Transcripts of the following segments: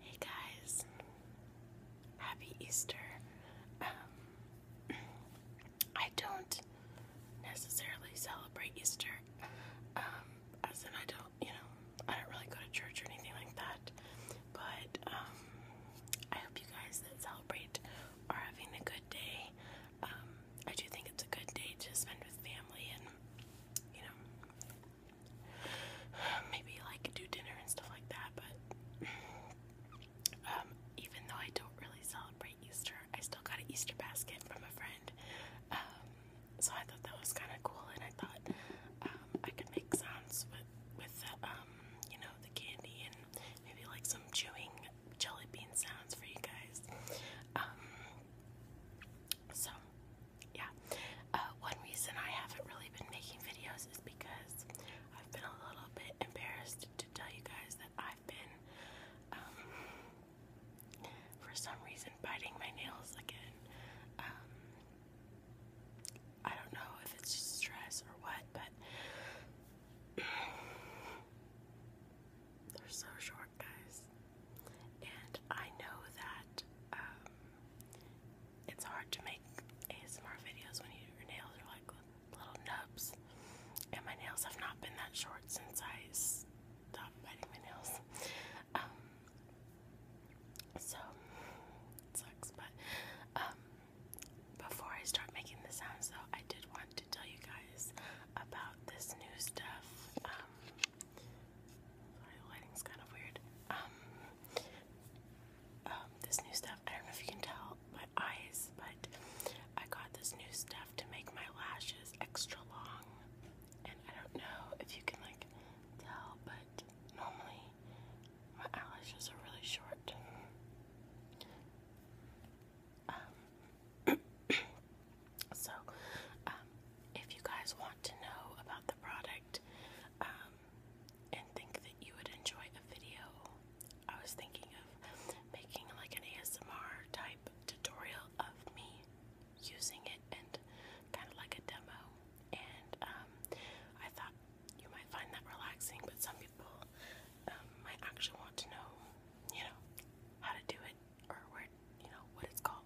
Hey guys, happy Easter. Um, I don't necessarily celebrate Easter, um, as in I don't, you know, I don't really go to church or anything like that. But um, I hope you guys that celebrate are having a good day. I do think it's a good day to spend with family and, you know, maybe like do dinner and stuff like that, but um, even though I don't really celebrate Easter, I still got an Easter basket from a friend. Um, so I thought that was kind of cool, and I thought um, I could make sounds with with the, you know the candy and maybe like some chewing jelly bean sounds for you guys. so yeah, uh, one reason I haven't really been making videos is because I've been a little bit embarrassed to tell you guys that I've been, um, for some reason, biting my nails again. Um, I don't know if it's stress or what, but they're so short guys. And I know that um, it's hard to make ASMR videos when your nails are like little nubs. And my nails have not been that short since I stopped biting my nails. Um, so sucks, but um, before I start making the sounds, though, I did want to tell you guys about this new stuff the lighting's kind of weird. Um, um, this new stuff, I don't know if you can tell my eyes, but I got this new stuff to make my lashes extra long. And I don't know if you can, like, tell, but normally my eyelashes are really short. Um, So, um, if you guys want to know about the product um, and think that you would enjoy a video, I was thinking of making like an ASMR type tutorial of me using it and kind of like a demo. And um, I thought you might find that relaxing, but some people might actually want to know, you know, how to do it or what you know what it's called.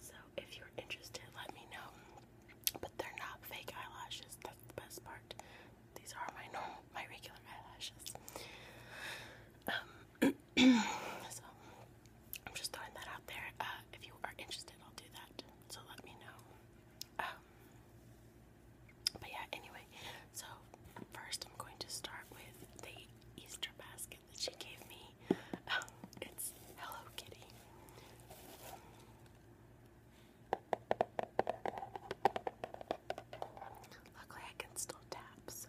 So if you're interested, let me know. But they're not fake eyelashes. That's the best part. These are my normal, my regular eyelashes. Um, so I'm just throwing that out there. Uh, if you are interested, I'll do that. So let me know. Um, but yeah, anyway, so first I'm going to start with the Easter basket that she gave me. Oh, it's Hello Kitty. Luckily, I can still tap, so.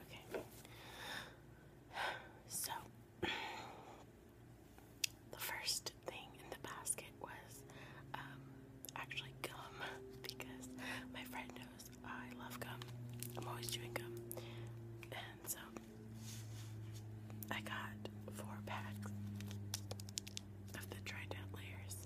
Okay. So the first thing in the basket was um, actually gum because my friend I love gum. I'm always chewing gum. And so I got four packs of the dried-out layers.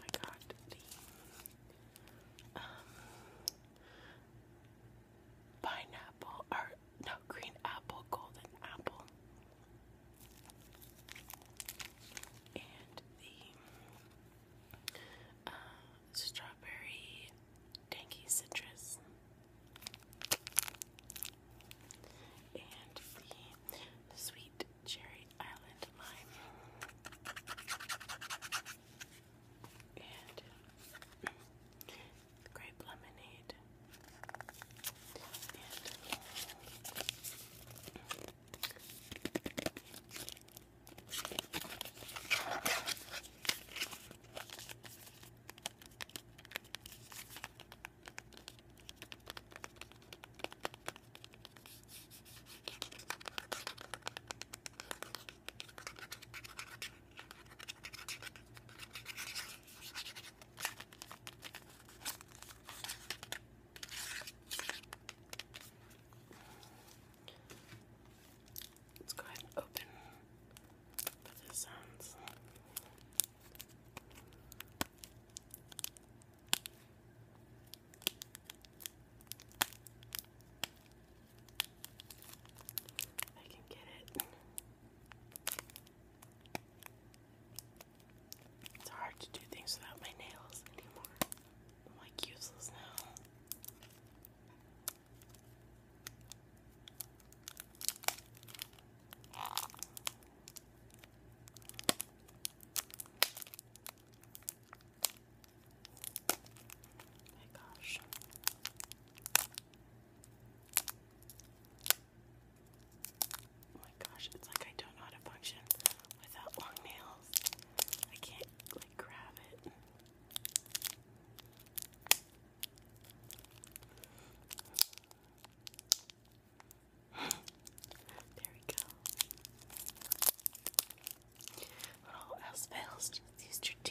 I got the um, pineapple, or no green apple, golden apple, and the uh, strawberry tangy citrus, and the sweet cherry island lime, and grape lemonade, Let's go ahead and open for the sounds. I can get it. It's hard to do things without my nails anymore. I'm like useless now. my gosh. Oh my gosh, it's like I don't know how to function without long nails. I can't like grab it. there we go. What all else fails, use your teeth.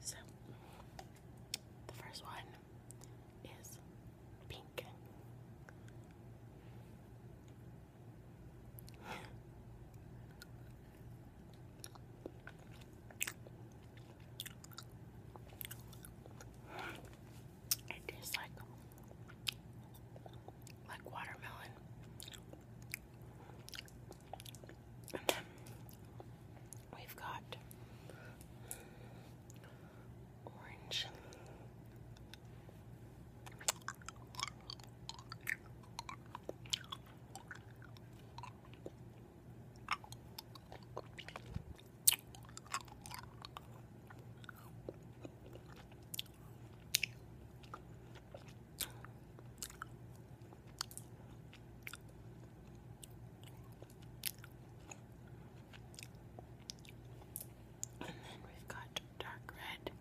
So, the first one is pink. It tastes like like watermelon. And then we've got orange. And then we've got dark red.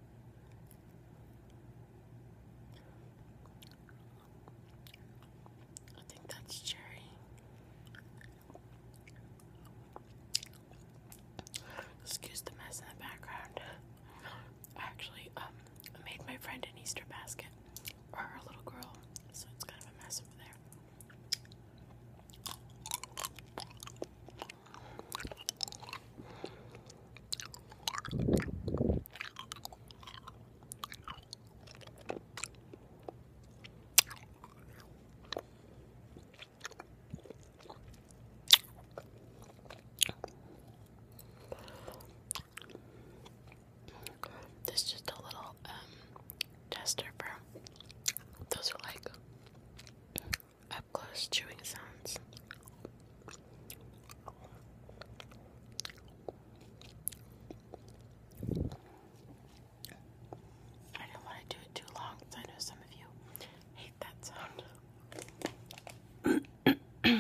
I think that's cherry. Excuse the mess in the background. Actually, um, made my friend an Easter basket for her little girl, so it's kind of a mess over there. This is just a little um tester for those are like up close chewing sounds. I don't want to do it too long because I know some of you hate that sound.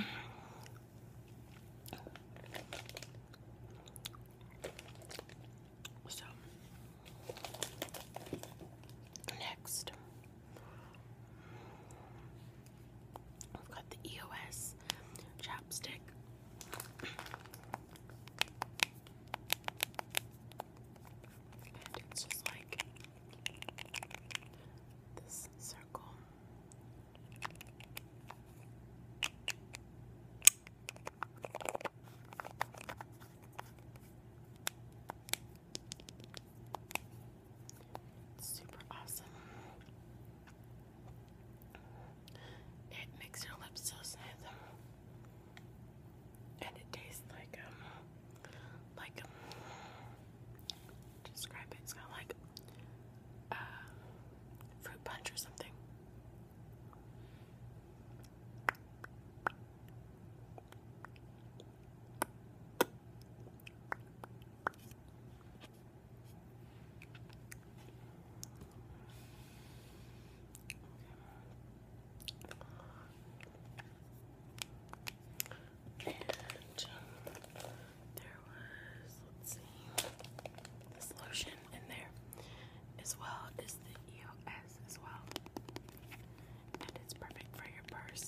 so, next, I've got the EOS chapstick. And it's just like this circle super awesome. It makes your lips so smooth. And it tastes like um, like um, describe it, it's kinda like uh, fruit punch or something. And there was, let's see, this lotion in there, as well as the EOS as well. And it's perfect for your purse.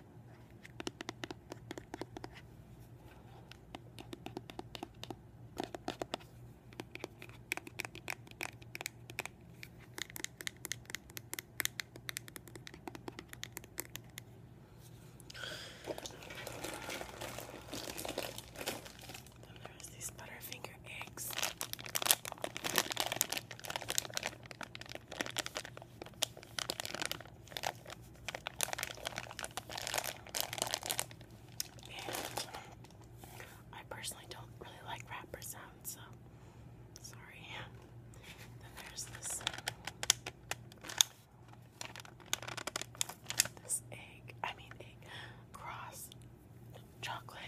And there's these Butterfinger eggs. I personally don't really like wrapper sounds, so sorry. Then there's this this egg, I mean egg, cross chocolate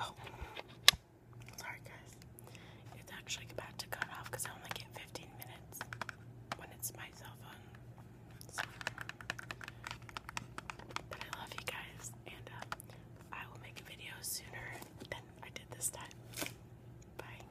Oh, sorry guys. It's actually about to cut off because I only get 15 minutes when it's my cell phone. but I love you guys, and uh, I will make a video sooner than I did this time. Bye.